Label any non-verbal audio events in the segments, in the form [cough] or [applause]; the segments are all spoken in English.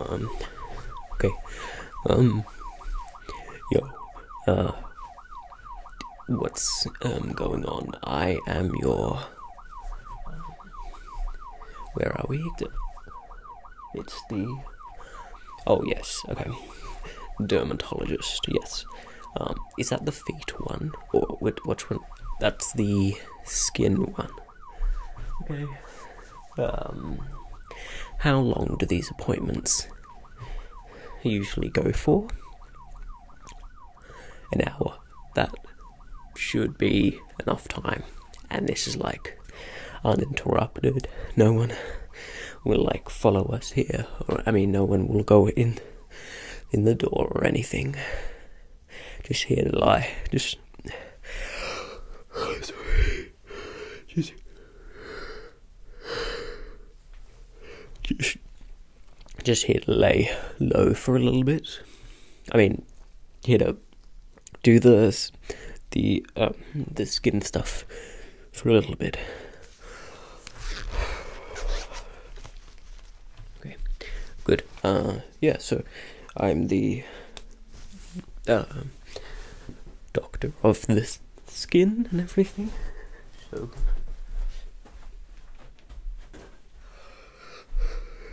Um, okay. Um, yo, uh, what's, um, going on? I am your. Where are we? It's the. Oh, yes, okay. Dermatologist, yes. Um, is that the feet one? Or which one? That's the skin one. Okay. Um, how long do these appointments usually go for? An hour. That should be enough time and this is like uninterrupted. No one will like follow us here, I mean, no one will go in in the door or anything. Just here to lie, just. sorry. Just, just, just here to lay low for a little bit. I mean, here to do the the um, the skin stuff for a little bit. Okay, good. Uh, yeah, so I'm the uh, doctor of the skin and everything.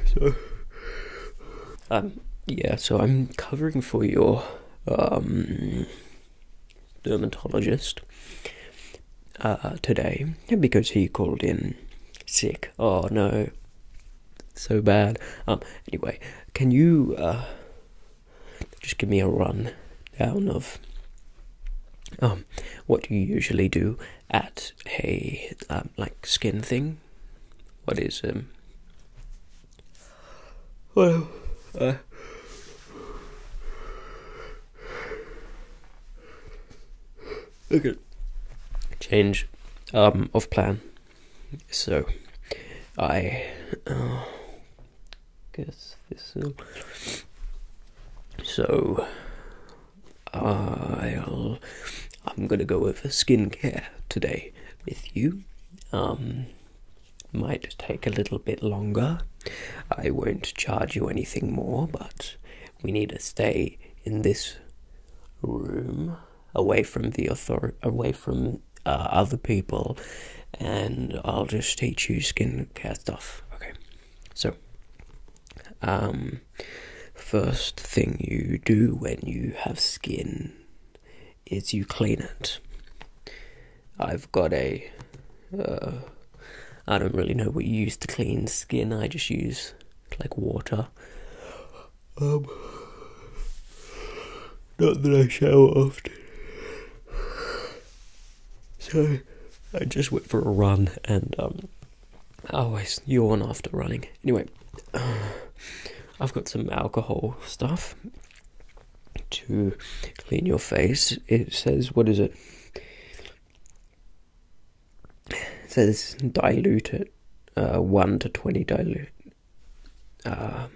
So, um, yeah, so I'm covering for your um, dermatologist uh, today because he called in sick. Oh no, so bad. Um, anyway, can you uh, just give me a run down of what you usually do at a like skin thing? What is um well, uh, okay. Change um, of plan. So, I uh, guess this. Will... Um, so, I'll. I'm gonna go over skincare today with you. Um, might take a little bit longer. I won't charge you anything more, but we need to stay in this room away from the author away from uh, other people and I'll just teach you skincare stuff. Okay. So um first thing you do when you have skin is you clean it. I've got ai uh, don't really know what you use to clean skin. I just use like water. Um, not that I shower often. So I just went for a run and um, I always yawn after running. Anyway, I've got some alcohol stuff to clean your face. It says, what is it? says dilute it uh, 1 to 20 dilute. Uh,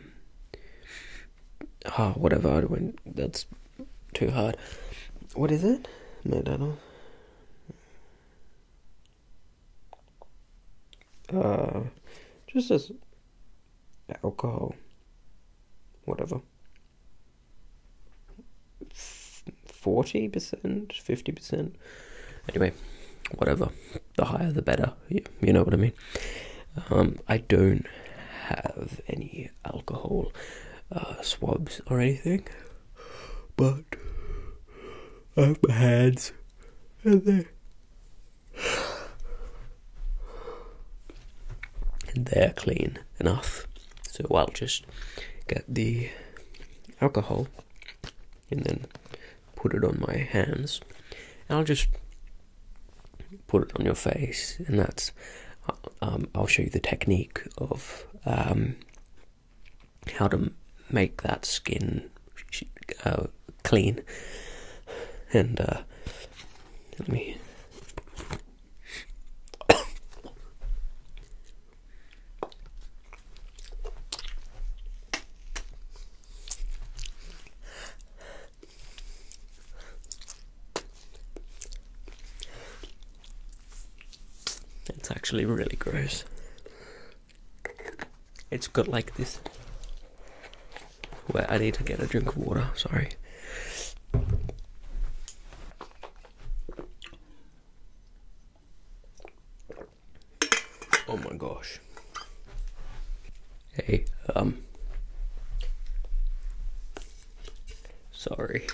oh, whatever, when that's too hard. What is it? No, McDonald's uh, just as alcohol, whatever. 40%, 50%. Anyway, whatever. The higher the better. You, know what I mean? Um, I don't have any alcohol uh, swabs or anything, but I have my hands and there. And they're clean enough, so I'll just get the alcohol and then put it on my hands. I'll just put it on your face, and that's uh, um, I'll show you the technique of um, how to make that skin uh, clean. And uh, let me. It's actually really gross. It's got like this. Wait, I need to get a drink of water, sorry. Oh my gosh. Hey, um. Sorry.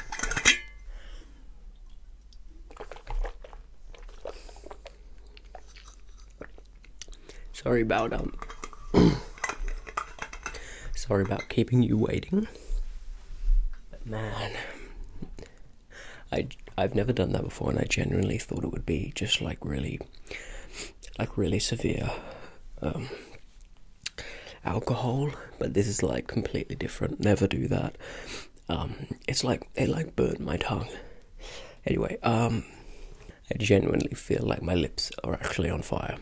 Sorry about um [coughs] sorry about keeping you waiting. But man I I've never done that before and I genuinely thought it would be just like really like really severe um, alcohol but this is like completely different never do that um, it's like it like burned my tongue. Anyway, um, I genuinely feel like my lips are actually on fire.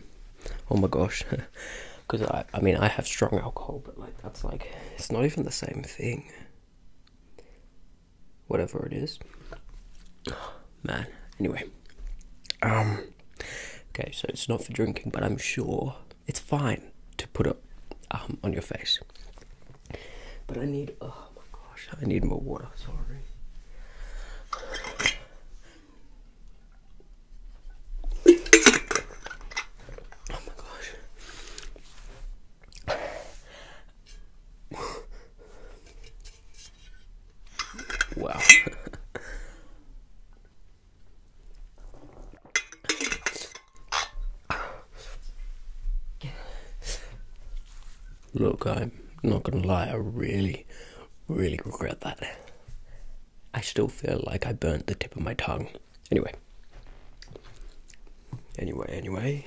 Oh my gosh, because [laughs] I I mean I have strong alcohol, but like that's like it's not even the same thing. Whatever it is, [sighs] man. Anyway, um, okay, so it's not for drinking, but I'm sure it's fine to put it um, on your face. But I need, oh my gosh, I need more water, sorry. Oh my gosh. [laughs] wow. [laughs] Look, I'm not gonna lie, I really, really regret that. I still feel like I burnt the tip of my tongue. Anyway. Anyway, anyway.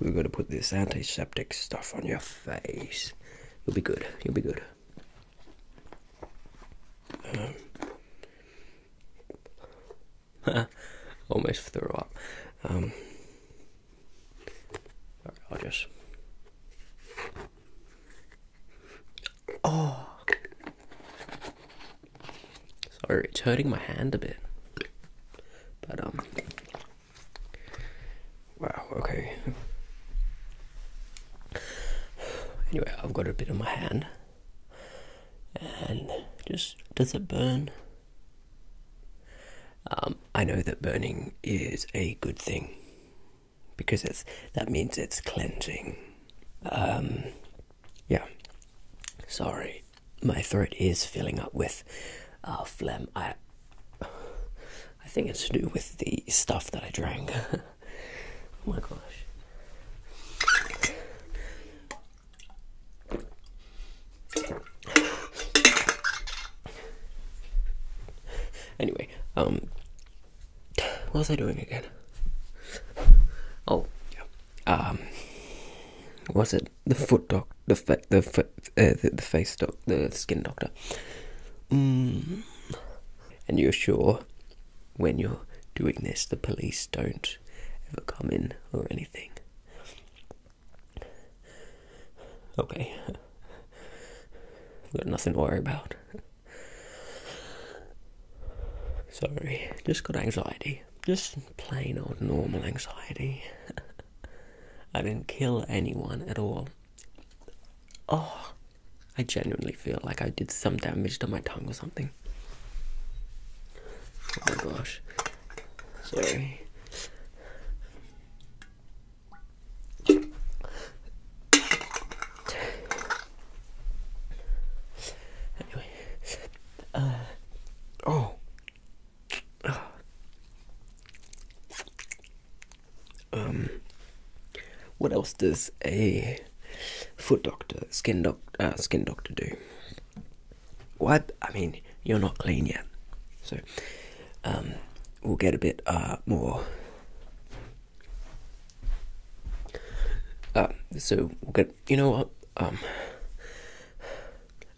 We're gonna put this antiseptic stuff on your face. You'll be good. You'll be good. Um, [laughs] Almost threw up. Um, sorry, I'll just. Oh! Sorry, it's hurting my hand a bit. But, um. Wow, okay. Anyway, I've got a bit on my hand. And just, does it burn? Um, I know that burning is a good thing because it's that means it's cleansing. Um, yeah. Sorry, my throat is filling up with uh, phlegm. I I think it's to do with the stuff that I drank. [laughs] oh my gosh anyway, um, what was I doing again? Oh, Um, was it the foot doc, the fa- uh, the, face doc, the skin doctor? Mm. And you're sure when you're doing this, the police don't ever come in or anything. Okay. Got nothing to worry about. Sorry, just got anxiety. Just plain old normal anxiety. [laughs] I didn't kill anyone at all. Oh, I genuinely feel like I did some damage to my tongue or something. Oh my gosh. Sorry. Anyway. Uh oh. Um what else does a foot doctor, skin doc uh, skin doctor do? What? I mean, you're not clean yet. So, um, we'll get a bit uh, more. Uh, so, we'll get. You know what? Um,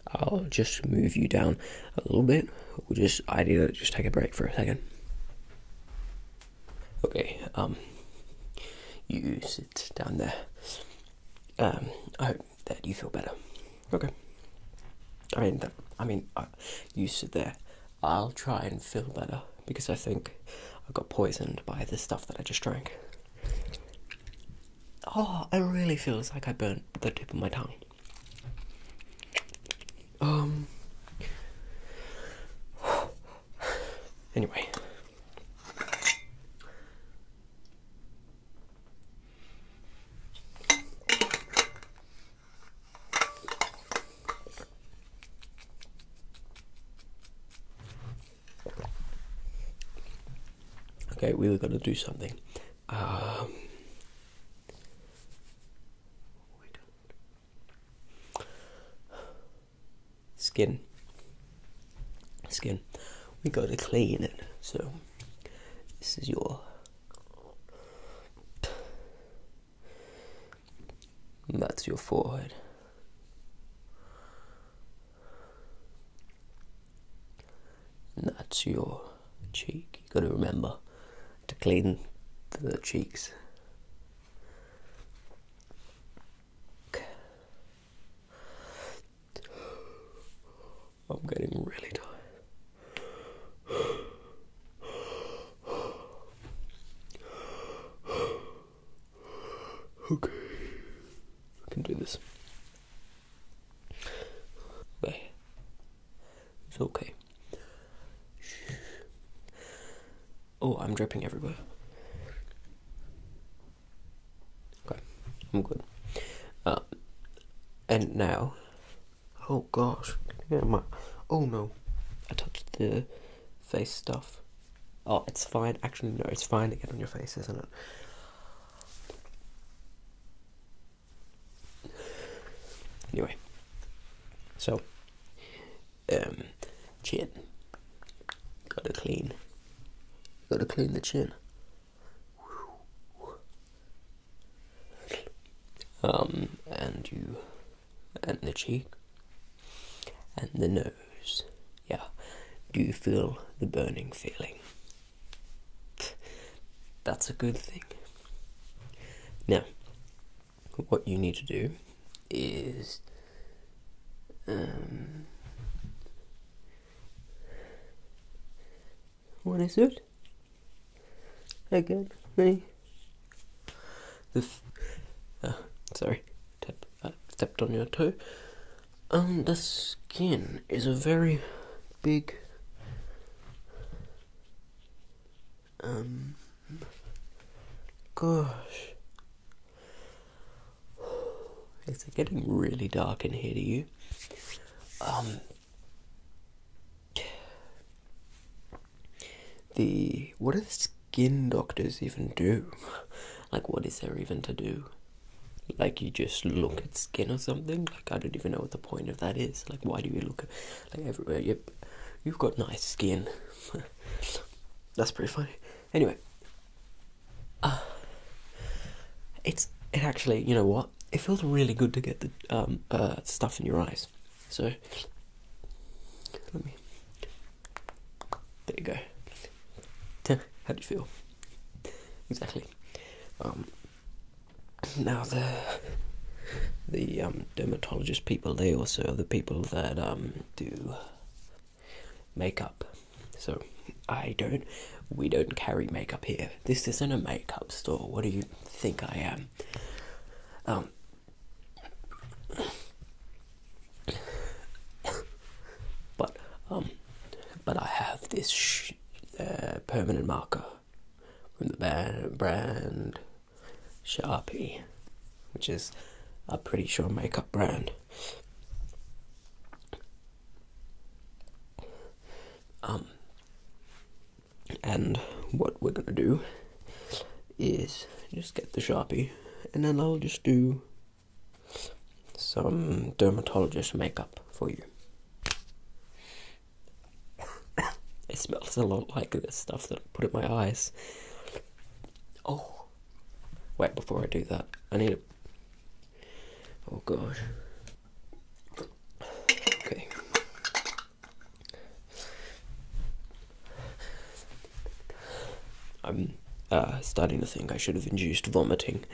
I'll just move you down a little bit. We'll just. I need just take a break for a second. Okay, um, you sit down there um, I hope that you feel better. Okay. I mean, I mean, uh, you sit there. I'll try and feel better because I think I got poisoned by the stuff that I just drank. Oh, it really feels like I burnt the tip of my tongue. Um. [sighs] Anyway, Okay, we were going to do something. Um, skin. Skin. We got to clean it. So this is your that's your forehead. that's your cheek. You gotta remember to clean the cheeks. I'm getting really tired. Okay, I can do this. Okay, it's okay. Oh, I'm dripping everywhere. Okay, I'm good. Um, and now, oh gosh, my, oh no, I touched the face stuff. Oh, it's fine. Actually, no, it's fine to get on your face, isn't it? Anyway, so um, chin. Gotta clean. Gotta clean the chin. Um, and you, and the cheek, and the nose. Yeah. Do you feel the burning feeling? That's a good thing. Now, what you need to do is um, what is it again me the uh, sorry tap, uh, stepped on your toe um the skin is a very big um gosh [sighs] Is it getting really dark in here to you? Um, [sighs] the what do skin doctors even do? [laughs] Like what is there even to do? Like you just look at skin or something? Like I don't even know what the point of that is. Like why do you look at like everywhere? Yep. You've got nice skin. [laughs] That's pretty funny. Anyway, uh, it's it actually you know what it feels really good to get the um, uh, stuff in your eyes. So let me. There you go. How do you feel? Exactly. Um, now the the um, dermatologist people they also are the people that do makeup. So I don't we don't carry makeup here. This isn't a makeup store. What do you think I am? Um but um but I have this sh uh, permanent marker from the brand Sharpie, which is a pretty sure makeup brand. Um, and what we're gonna do is just get the sharpie, and then I'll just do some dermatologist makeup for you. [coughs] it smells a lot like this stuff that I put in my eyes. Oh, Wait before I do that. I need a. Oh gosh. Okay. I'm uh, starting to think I should have induced vomiting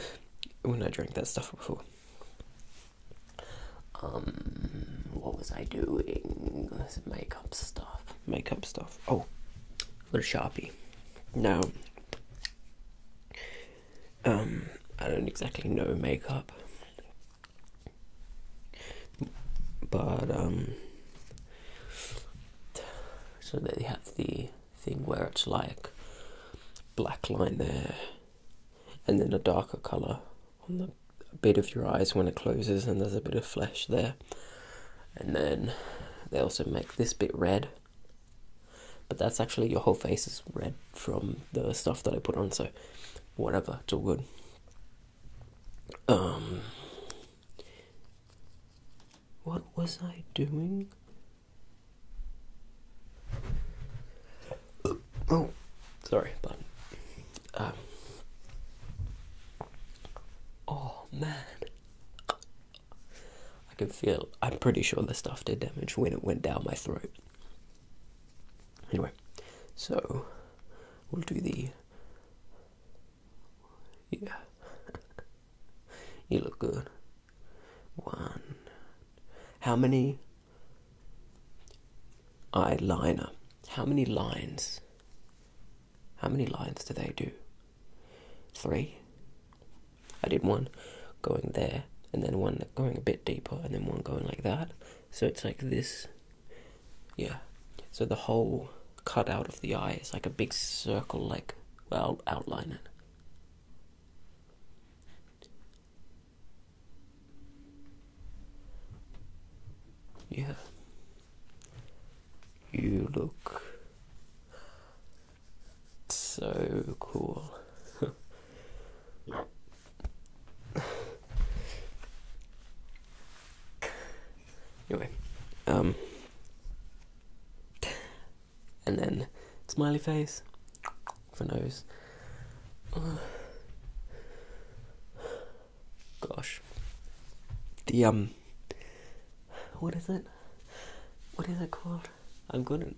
[laughs] when I drank that stuff before. Um, what was I doing? This makeup stuff. Makeup stuff. Oh, Little Sharpie. Now, um, I don't exactly know makeup, but um, so so you have the thing where it's like black line there, and then a darker color on the bit of your eyes when it closes, and there's a bit of flesh there. And then they also make this bit red. But that's actually your whole face is red from the stuff that I put on, so whatever, it's all good. Um what was I doing? Oh, sorry, but um, oh man, I can feel, I'm pretty sure the stuff did damage when it went down my throat. Anyway, so we'll do the. Yeah. [laughs] you look good. One. How many eyeliner? How many lines how many lines do they do? Three? I did one going there, and then one going a bit deeper, and then one going like that. So it's like this. Yeah. So the whole cut out of the eye is like a big circle, like, well, outline it. Yeah. You look so cool. [laughs] anyway, um, and then smiley face for nose gosh, the um, what is it? What is it called? I'm gonna,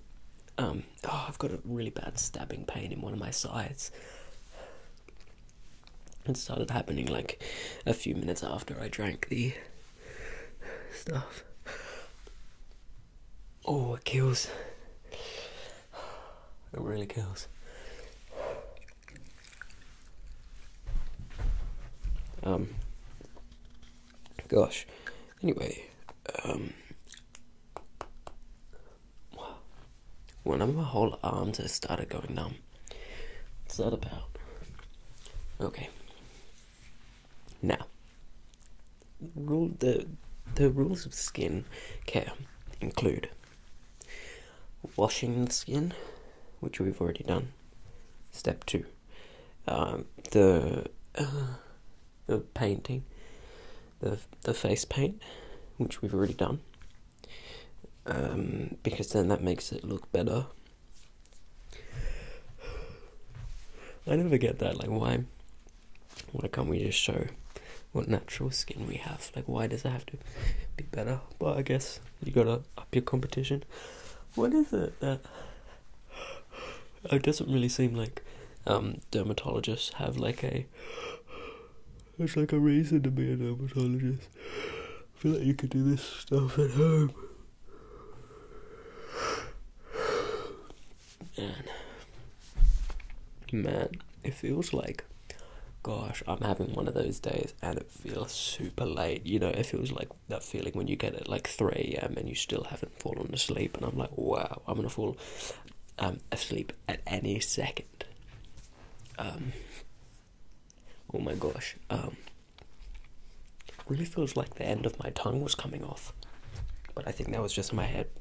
um, oh, I've got a really bad stabbing pain in one of my sides. It started happening like a few minutes after I drank the stuff. Oh, it kills. It really kills. Um, gosh. Anyway, um, one of my whole arms has started going numb. What's that about? Okay. Now, rule the the rules of skin care include washing the skin, which we've already done, step two, um, the uh, the painting, the the face paint, which we've already done, um, because then that makes it look better. I never get that. Like, why? Why can't we just show what natural skin we have? Like, why does it have to be better? But I guess you gotta up, your competition. What is it that it doesn't really seem like um, dermatologists have like a it's like a reason to be a dermatologist. I feel like you could do this stuff at home. Man. Man, it feels like gosh, I'm having one of those days and do feel super late. You know, it feels like that feeling when you get at like 3 a.m. and you still haven't fallen asleep, and I'm like, wow, I'm gonna fall um, asleep at any second. Um, oh my gosh, um, really feels like the end of my tongue was coming off, but I think that was just my head. [sighs]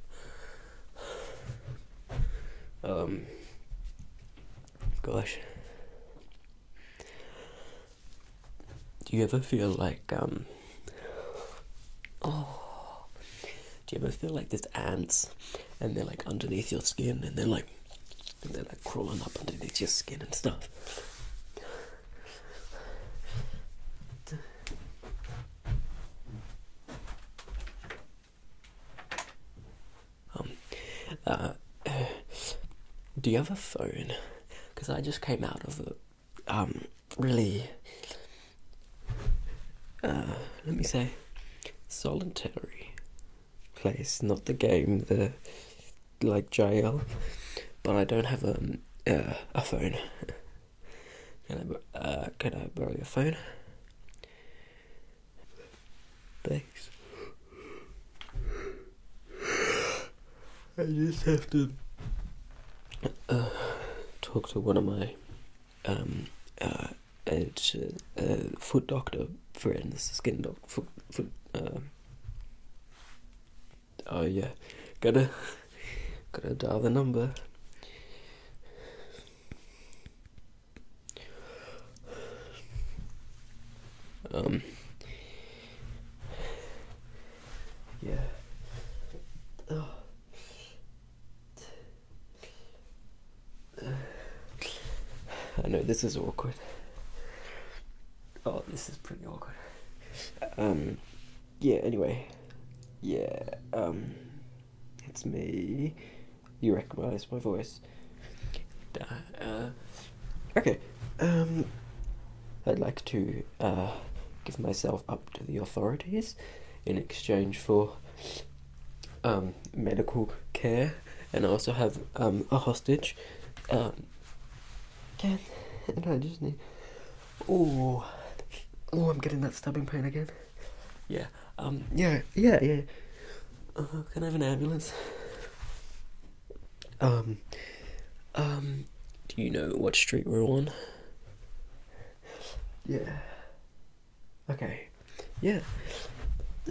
Gosh. Do you ever feel like, um, oh, do you ever feel like there's ants and they're like underneath your skin and they're like, and they're like crawling up underneath your skin and stuff? Um, uh, [sighs] do you have a phone? Because I just came out of a um, really, uh, let me say, solitary place. Not the game, the like jail, but I don't have a um, uh, a phone. [laughs] can I borrow your phone? Thanks. I just have to uh, talk to one of my um, uh, uh, foot doctor friends, skin doctor, oh yeah, gotta, gotta dial the number. Um, yeah. Oh. [sighs] I know this is awkward. Oh, this is pretty awkward. Um, yeah, anyway. Yeah, um, it's me you recognize my voice. Uh. okay, um, I'd like to uh, give myself up to the authorities in exchange for um, medical care, and I also have um, a hostage. Um, and, and I just need. Oh, oh, I'm getting that stabbing pain again. Yeah. Um, yeah, yeah, yeah. Uh-huh, can I have an ambulance? Um, um, do you know what street we're on? Yeah. Okay. Yeah.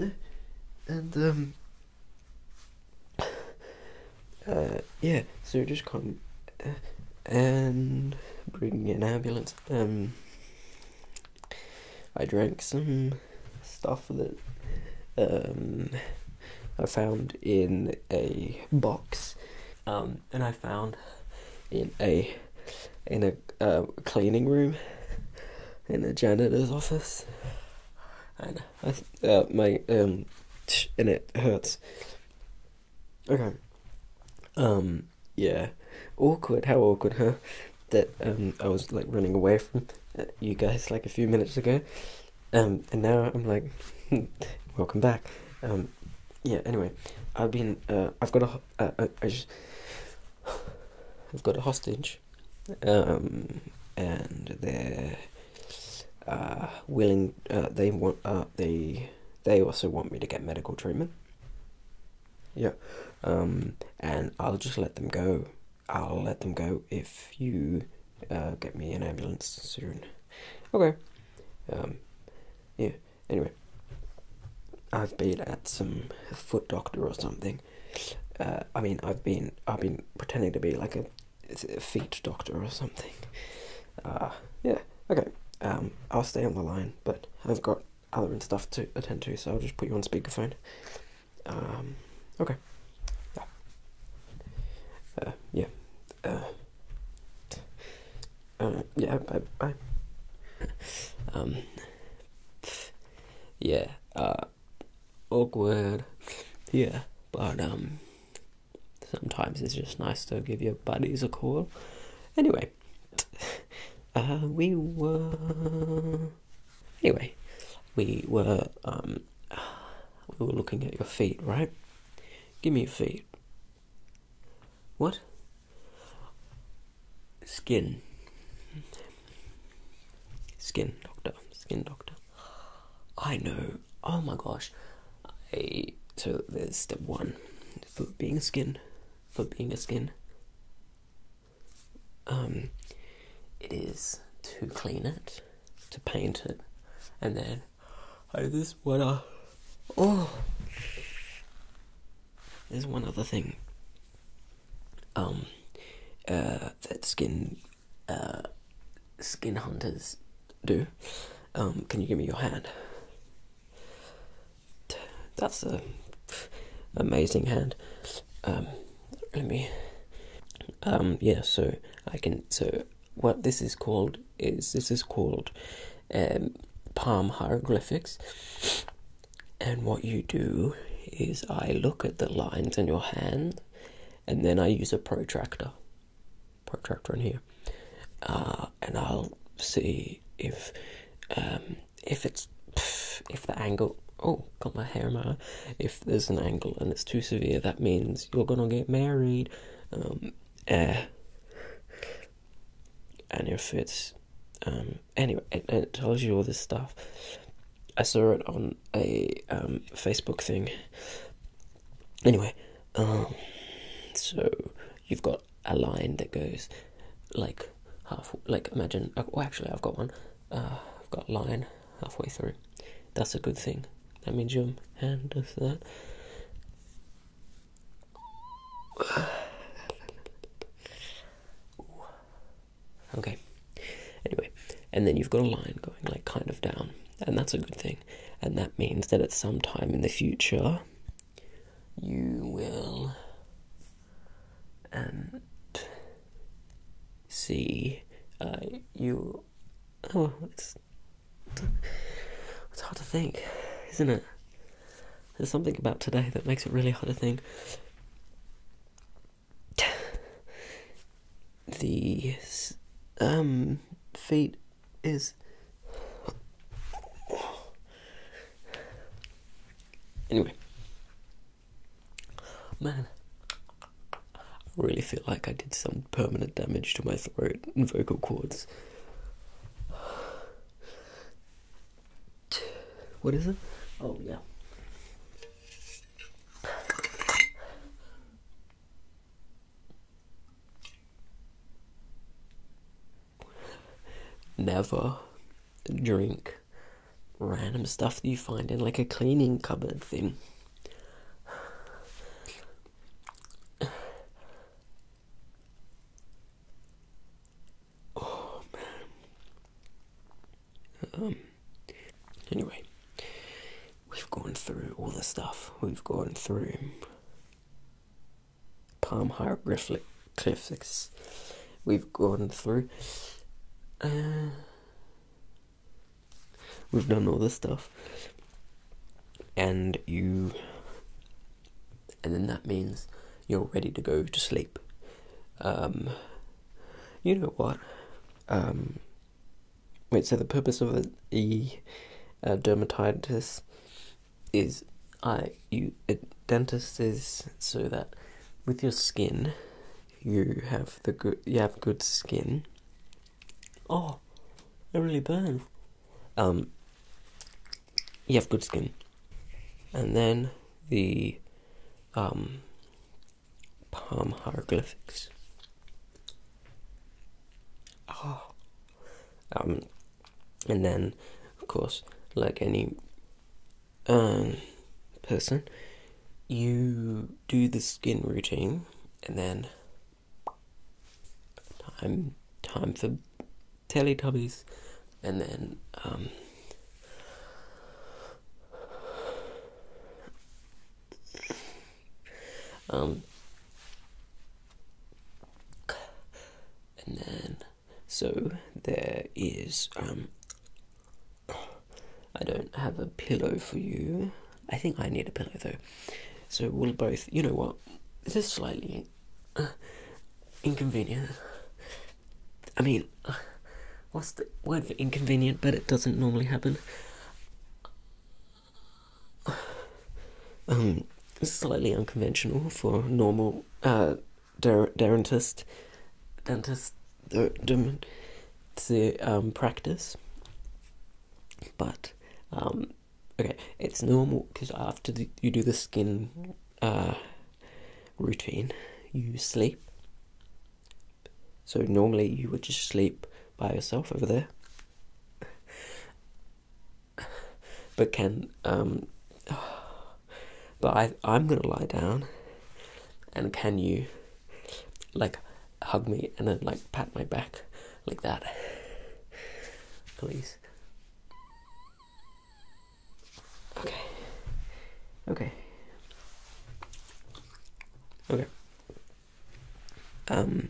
Uh, and, um, uh, yeah, so just come uh, and bring an ambulance. Um, I drank some stuff that um, I found in a box, um, and I found in a in a uh, cleaning room in a janitor's office, and I uh, my um and it hurts. Okay. Um. Yeah. Awkward. How awkward, huh? that um, I was like running away from uh, you guys like a few minutes ago, um, and now I'm like, hmm, welcome back. Um, yeah. Anyway, I've been uh, I've got a have uh, got a hostage, and they're willing. they want. Uh, they also want me to get medical treatment yeah um and i'll just let them go i'll let them go if you uh get me an ambulance soon okay um yeah anyway i've been at some foot doctor or something uh i mean i've been i've been pretending to be like a, feet doctor or something uh yeah okay um i'll stay on the line but i've got other and stuff to attend to so i'll just put you on speakerphone um, okay. Yeah. Uh, yeah. Uh, uh, yeah, bye bye. um, yeah, uh, awkward. Yeah, but, um, sometimes it's just nice to give your buddies a call. Anyway, uh, we were. Anyway, we were um, we were looking at your feet, right? Give me your feet. What? Skin. Skin doctor. Skin doctor. I know. Oh my gosh. so there's step one for being a skin. For being a skin um, it is to clean it, to paint it, and then I just wanna. Oh! There's one other thing. Um, uh, that skin, uh, skin hunters do. Um, can you give me your hand? That's a amazing hand. Um, let me. Um, yeah, so I can. So what this is called is this is called um, palm hieroglyphics. And what you do is I look at the lines in your hand, and then I use a protractor, protractor in here, uh, and I'll see if if it's if the angle oh got my hair in my if there's an angle and it's too severe that means you're gonna get married um uh, and if it's um anyway it, it tells you all this stuff i saw it on a um facebook thing anyway um so you've got a line that goes like half like imagine oh actually I've got one uh, I've got line halfway through that's a good thing that means your hand does that okay anyway and then you've got a line going like kind of down and that's a good thing and that means that at some time in the future you will and see you. Oh, it's it's hard to think, isn't it? There's something about today that makes it really hard to think. The um fate is Anyway, man, I really feel like I did some permanent damage to my throat and vocal cords. [sighs] What is it? Oh, yeah. Never drink random stuff that you find in like a cleaning cupboard thing. [sighs] Oh man. Um anyway, we've gone through all the stuff. We've gone through palm hieroglyphics we've gone through. Uh, we've done all this stuff. And you. And then that means you're ready to go to sleep. Um, you know what? Um, wait, so the purpose of the uh, dermatitis is I you dentists, so that with your skin you have the good you have good skin. Oh, it really burns. Um, you have good skin, and then the um palm hieroglyphics. Oh, um, and then of course, like any um, person, you do the skin routine and then time time for Teletubbies and then um, um and then so there is. Um, I don't have a pillow for you. I think I need a pillow though. So we'll both. You know what? This is slightly uh, inconvenient. I mean, uh, what's the word for inconvenient? But it doesn't normally happen. Um, slightly unconventional for normal. Uh, der, dentist, dentist, der, dem, to um, practice. But um, okay, it's normal because after you do the skin uh, routine, you sleep. So normally you would just sleep by yourself over there. but can um, but I, am gonna lie down, and can you, like, hug me and then like pat my back like that, please? Okay. Okay. Okay. Um,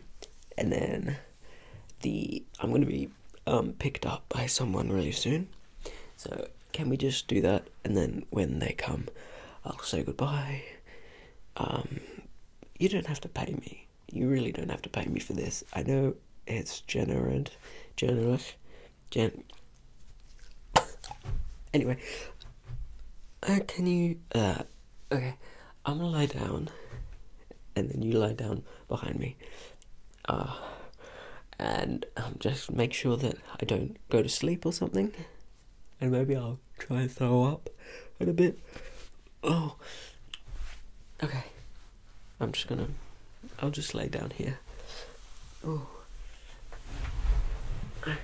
and then the I'm gonna be um, picked up by someone really soon. So, can we just do that? And then when they come, I'll say goodbye. Um, you don't have to pay me. You really don't have to pay me for this. I know it's generous. Generous. Gen. Anyway. Uh, can you. Uh, okay. I'm gonna lie down. And then you lie down behind me uh, and um, just make sure that I don't go to sleep or something. And maybe I'll try and throw up in a bit. Oh, okay. I'm just gonna. I'll just lay down here. Oh. Okay.